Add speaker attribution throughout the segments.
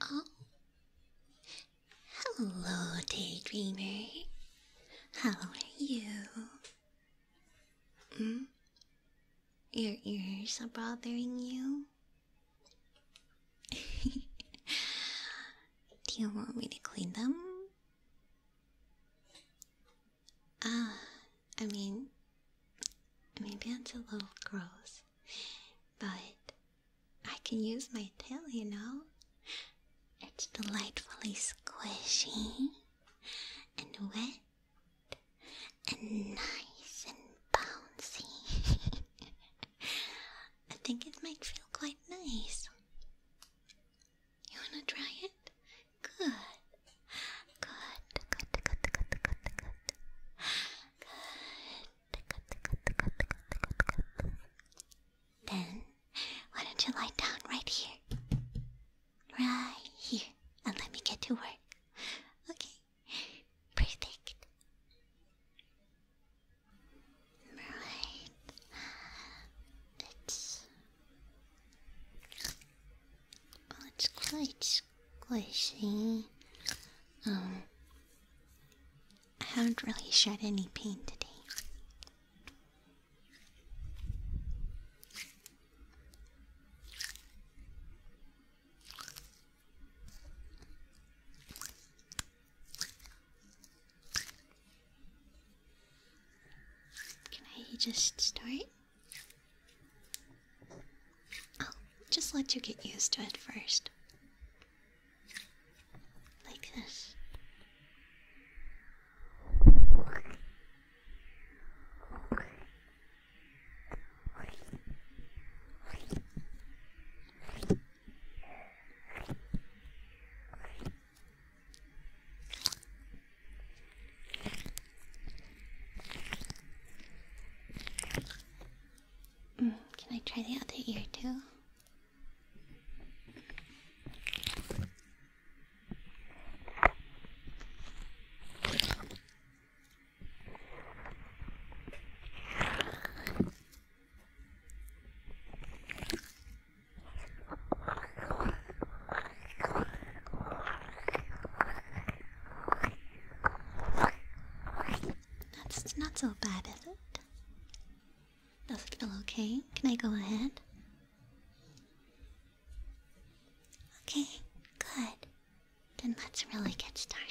Speaker 1: Oh. Hello, daydreamer. How are you? Hmm? Your ears are bothering you? Do you want me to clean them? Ah, I mean, maybe that's a little gross. But I can use my tail, you know? It's delightfully squishy and wet and nice and bouncy. I think it might feel quite nice. You wanna try it? Good. Good, good, good, good, good, good. Good. Then, why don't you lie down right here? Right here. And let me get to work. Okay. Perfect. Right. It's. Well, oh, it's quite squishy. Um, I haven't really shed any paint today. Can I just start? I'll just let you get used to it first. Like this. Mm, can I try the other ear too? That's not so bad, is it? Does it feel okay? Can I go ahead? Okay, good. Then let's really get started.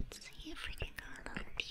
Speaker 1: Let's see if we can go a little deeper.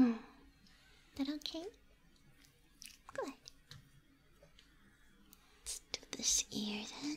Speaker 1: Mm. That okay? Good. Let's do this ear then.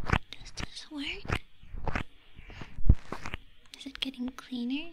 Speaker 1: Does this work? Is it getting cleaner?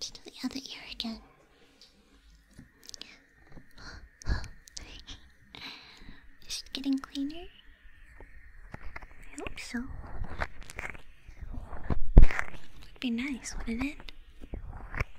Speaker 1: To do the other ear again. Is it getting cleaner? I hope so. Would be nice, wouldn't it?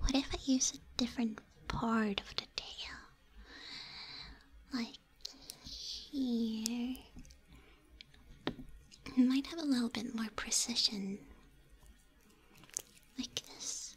Speaker 1: What if I use a different part of the tail? Like here. It might have a little bit more precision. Like this.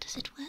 Speaker 1: Does it work?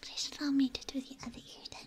Speaker 1: please allow me to do the other ear then.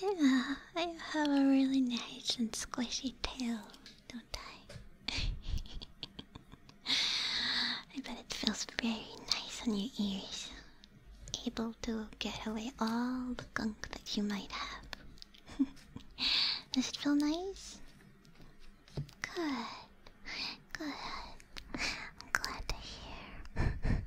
Speaker 1: Yeah, I have a really nice and squishy tail, don't I? I bet it feels very nice on your ears. Able to get away all the gunk that you might have. Does it feel nice? Good. Good. I'm glad to hear.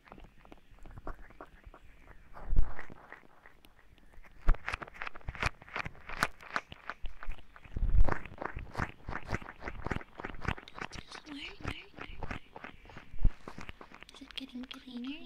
Speaker 1: Is it getting cleaner?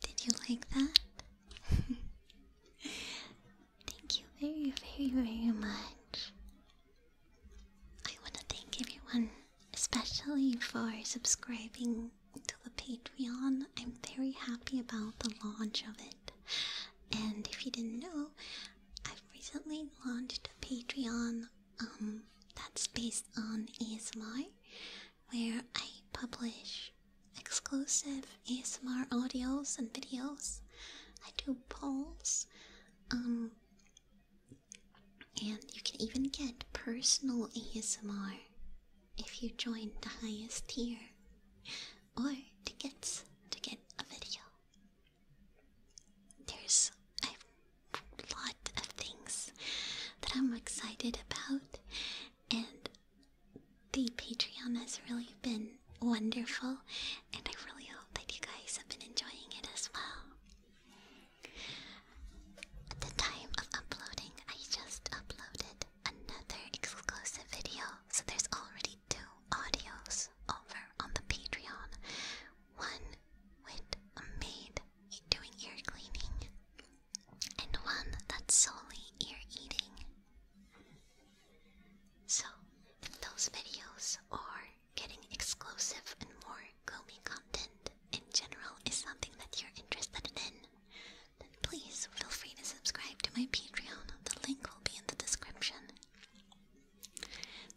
Speaker 1: Did you like that? thank you very, very, very much. I want to thank everyone, especially for subscribing to the Patreon. I'm very happy about the launch of it. And if you didn't know, I've recently launched a Patreon um, that's based on ASMR, where I publish exclusive ASMR audios and videos. I do polls, um, and you can even get personal ASMR if you join the highest tier, or tickets to get a video. There's a lot of things that I'm excited about, and the Patreon has really been wonderful, and I really hope that you guys have been enjoying it as well. At the time of uploading, I just uploaded another exclusive video, so there's already two audios over on the Patreon. One with a maid doing ear cleaning and one that's solely ear eating. So, if those videos are getting exclusive and more gloomy content in general is something that you're interested in, then please feel free to subscribe to my Patreon. The link will be in the description.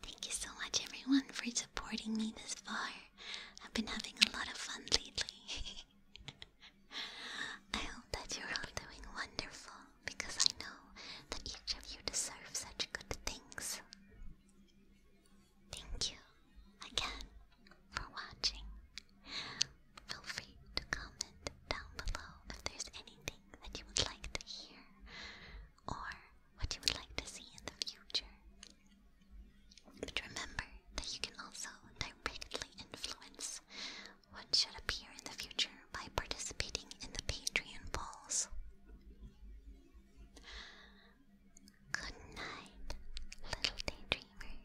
Speaker 1: Thank you so much, everyone, for supporting me this far. I've been having a lot of fun lately. I hope that you're all doing wonderful because I know that each of you deserves such good things. Thank you again for watching. Feel free to comment down below if there's anything that you would like to hear or what you would like to see in the future. But remember that you can also directly influence what should appear in the future by participating in the Patreon polls. Good night, little daydreamer.